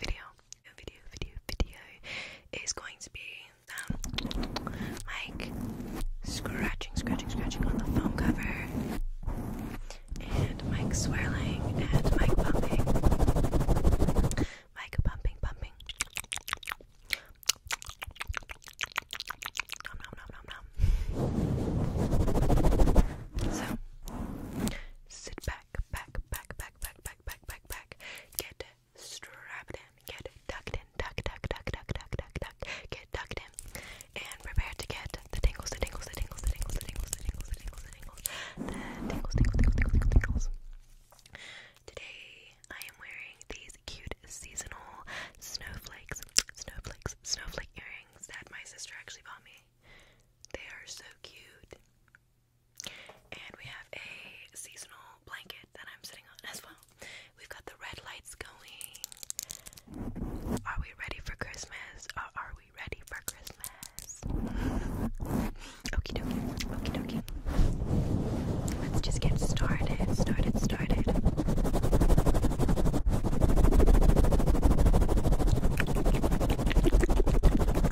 video. Video, video, video is going to be Mike um, scratching, scratching, scratching on the phone cover, and Mike swirling, and Mike pumping, Mike pumping, pumping. So sit back back, back, back, back, back, back, back, back, back. Get strapped in. Get tucked in. Tuck, tuck, tuck, tuck, tuck, tuck, tuck. Get tucked in. And prepare to get the tingles, the tingles, the tingles, the tingles, the tingles, the tingles, the tingles, the tingles, the tingles, tingles, tingles, tingles, tingles. Today I am wearing these cute seasonal snowflakes, snowflakes, snowflake earrings that my sister actually bought me. They are so cute. And we have a seasonal blanket that I'm sitting on as well. We've got the red lights going. Are we ready for Christmas? Are, are we ready for Christmas? Okie dokie. Okie dokie. Let's just get started. Started, started.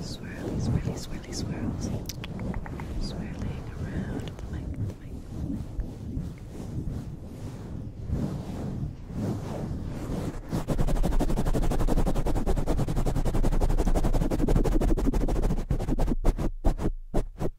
Swirly, swirly, swirly, swirls. Swirling around the mic, the mic, the mic. Swirly,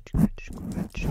scratch, scratch, scratch.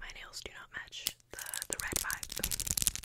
My nails do not match the the red vibe.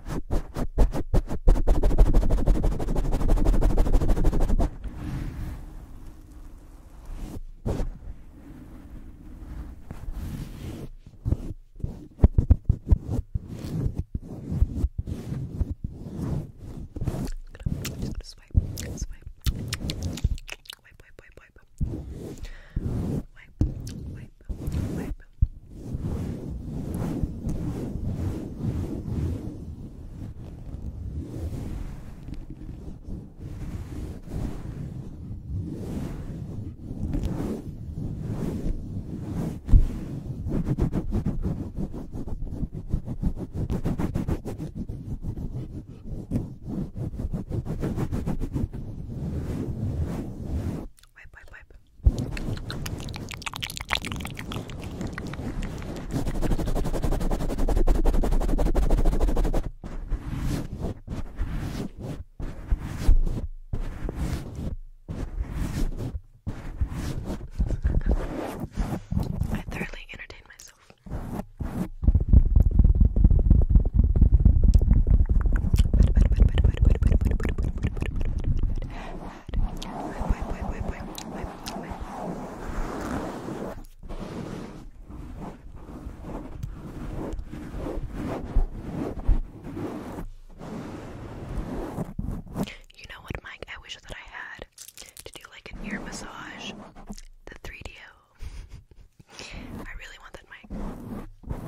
gonna swipe, swipe, swipe, wipe, wipe, wipe, wipe, wipe, wipe, wipe. Wipe, wipe, wipe. I thoroughly entertain myself. Better, better, better, better, you know what, Mike? I wish that I had to do like an ear massage. The 3DO. really want that mic.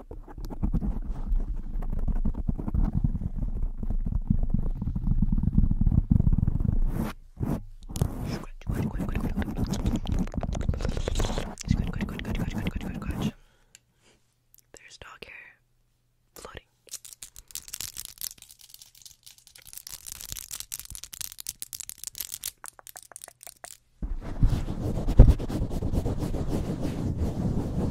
There's dog hair floating.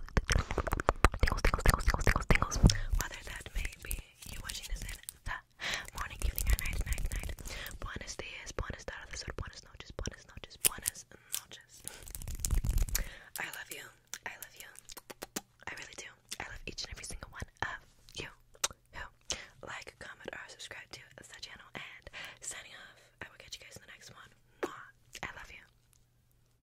tingles, tingles, tingles, tingles, tingles, tingles. Whether that may be you watching this in the morning, evening, night, night, night. Buenos dias, buenas tardes, or buenas noches, buenas noches, buenas noches. I love you. I love you. I really do. I love each and every single one of you who like, comment, or subscribe to the channel. And signing off. I will catch you guys in the next one. I love you.